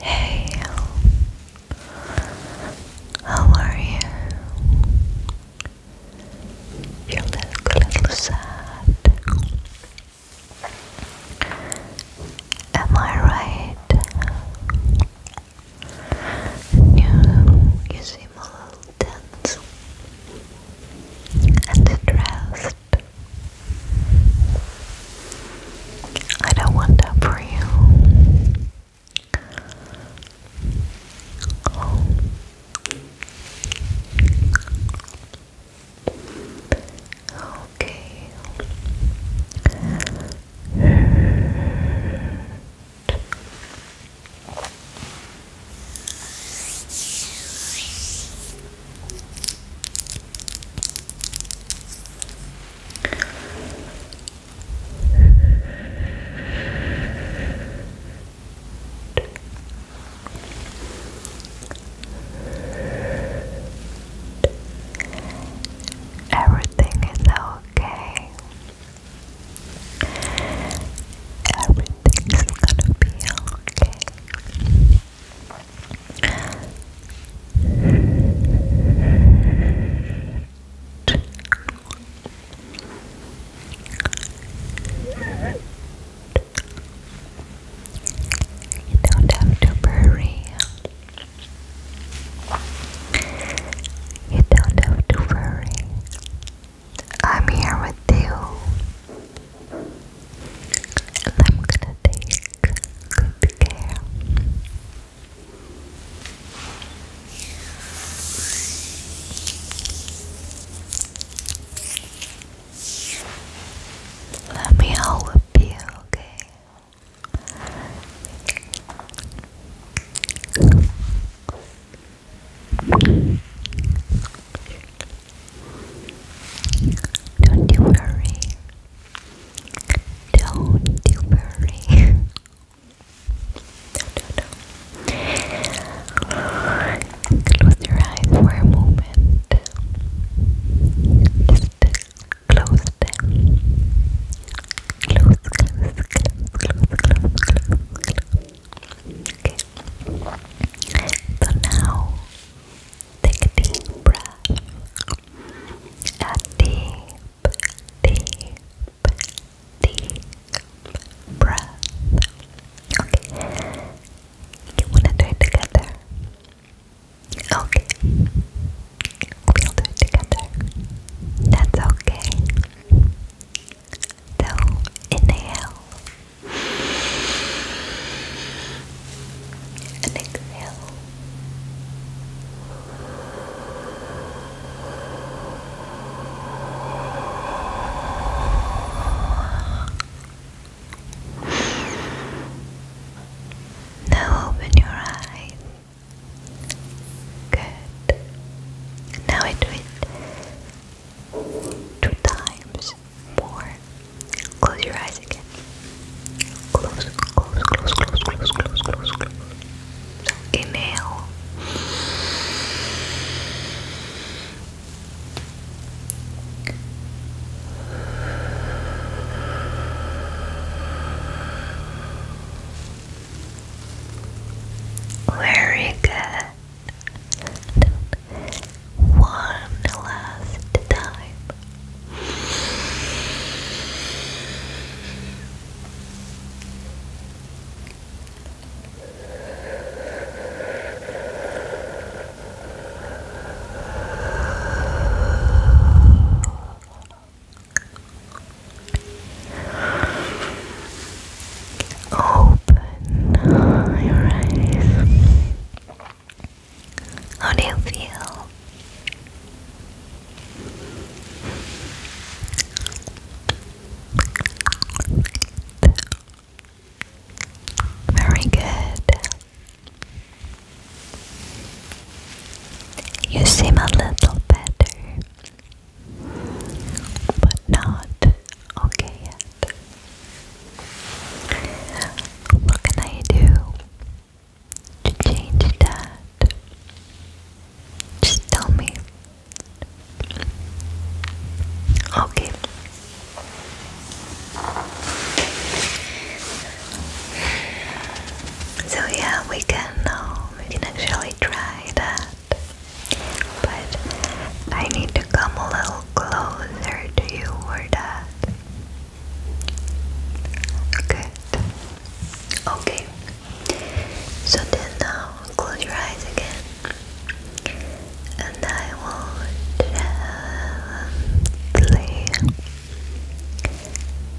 Hey, how are you? You look a little sad. Am I right? You, you seem a little tense and stressed. I don't want that for you. Okay. Everything is okay. Everything's gonna be okay. You don't have to worry. You don't have to worry. I'm here with you. I'm gonna take good care. Let me help you, okay? Don't you worry. Don't you worry. Close your eyes for a moment. Just close them. Close, close, close, close, close, close, close. So now take a deep breath a deep, deep, deep breath. Okay, you wanna do it together? Okay, we'll do it together. That's okay. So inhale and exhale. Now open your eyes. Good. Now I do it two times more. Close your eyes again. Close, close, close, close, close, close, close, close. So inhale. Very good one last time. Open your eyes. How do you feel? Very good. You seem a little better, but not okay yet. What can I do? to change that. Just tell me. Okay. So yeah, we can um, we can actually try that. But I need to come a little closer to you for that. Good. Okay. So then now um, close your eyes again. And I will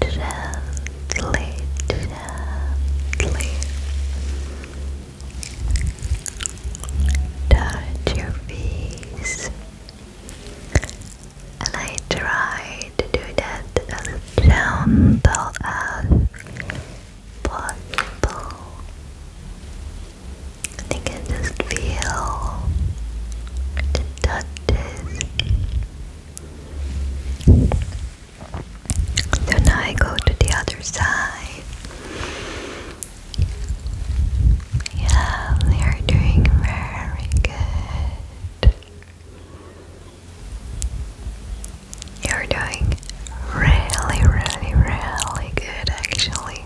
gently, gently, gently touch your face and I try to do that as gentle as possible. And you can just feel the touches. So now I go to the other side. Yeah, you're doing very good. You're doing really, really, really good actually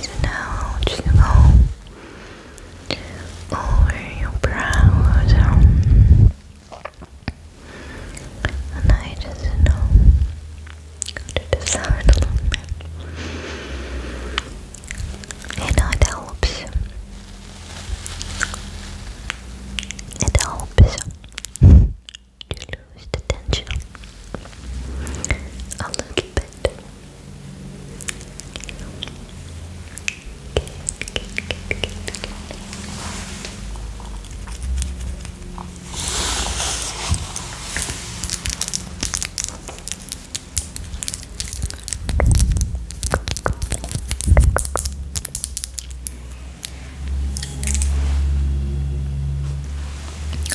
so now just go over your brows. Um, and I just know to the a little bit. You it helps. It helps to lose the tension a little bit.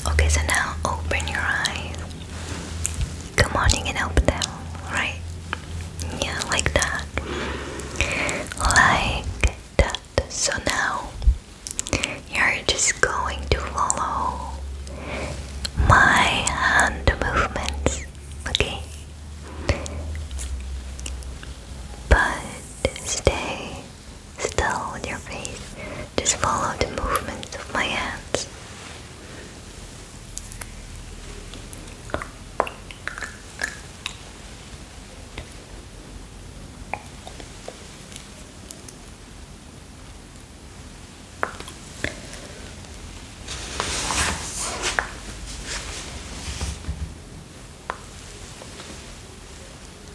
Okay, so now open your eyes. Come on, in can help them, right? Yeah, like that. Like that. So now you're just going to follow my hand movements, okay? But stay Still with your face, just follow the movements of my hands.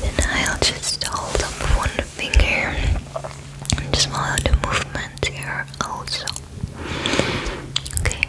And I'll just hold up one finger and just follow the movement here also. Okay.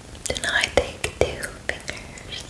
Do not take two fingers.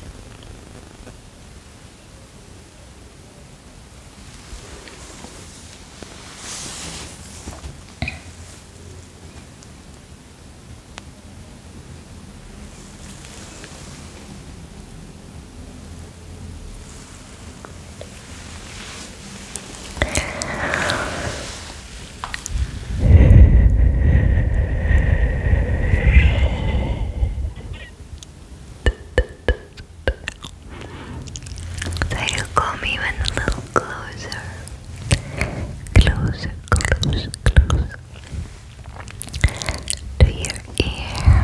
There you come even a little closer. Closer, close, To your ear.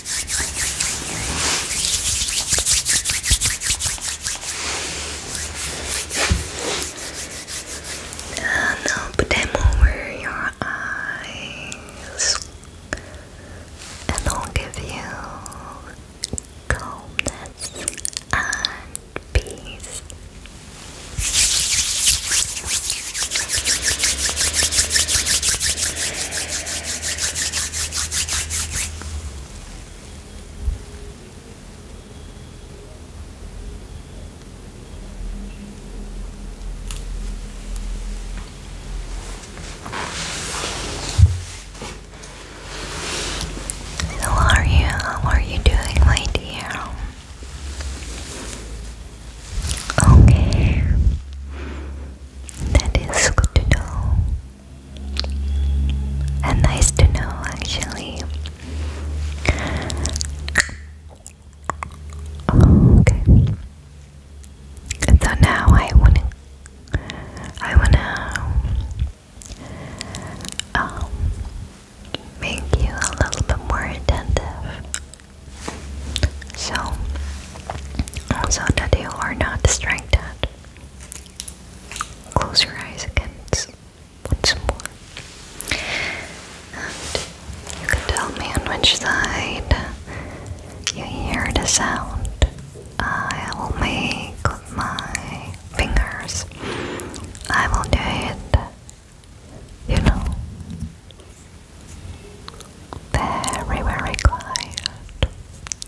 Uh, now put them over your eyes, and I'll give you calmness and peace. How are you? How are you doing, my dear? Okay, that is good to know. And nice to know, actually. Okay. So now I wanna, I wanna, um, make you a little bit more attentive. So, so that you are not distracted. Close your eyes again once more. And you can tell me on which side you hear the sound. I will make my fingers. I will do it, you know, very, very quiet.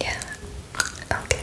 Yeah. Okay. okay.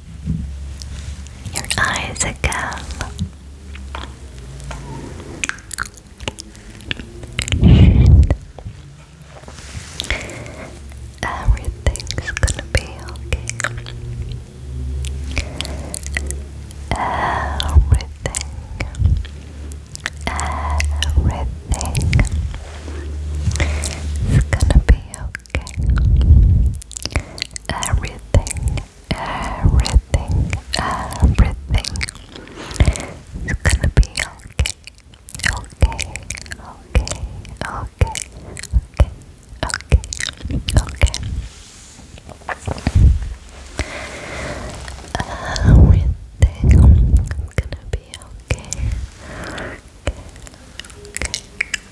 Your eyes again. Everything's gonna be okay. Everything. Everything is gonna be okay. Everything everything, everything is gonna be okay. Okay, okay, okay, okay, okay, okay. Everything is gonna be okay, Everything Hurt.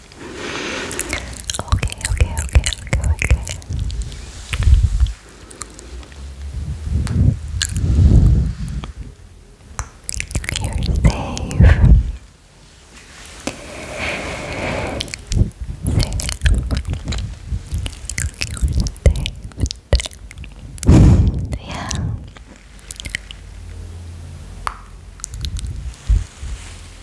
Okay, okay, okay, okay, okay. You're safe. Safe. yeah.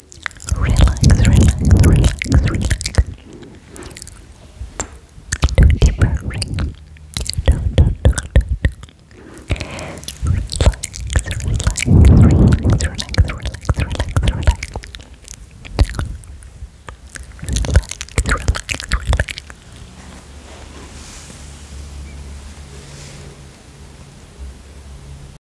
relax, relax, relax. Do a deep breath ring. Do, do, do, do, do. Relax, relax, relax, relax, relax, relax, relax. Relax, relax, relax.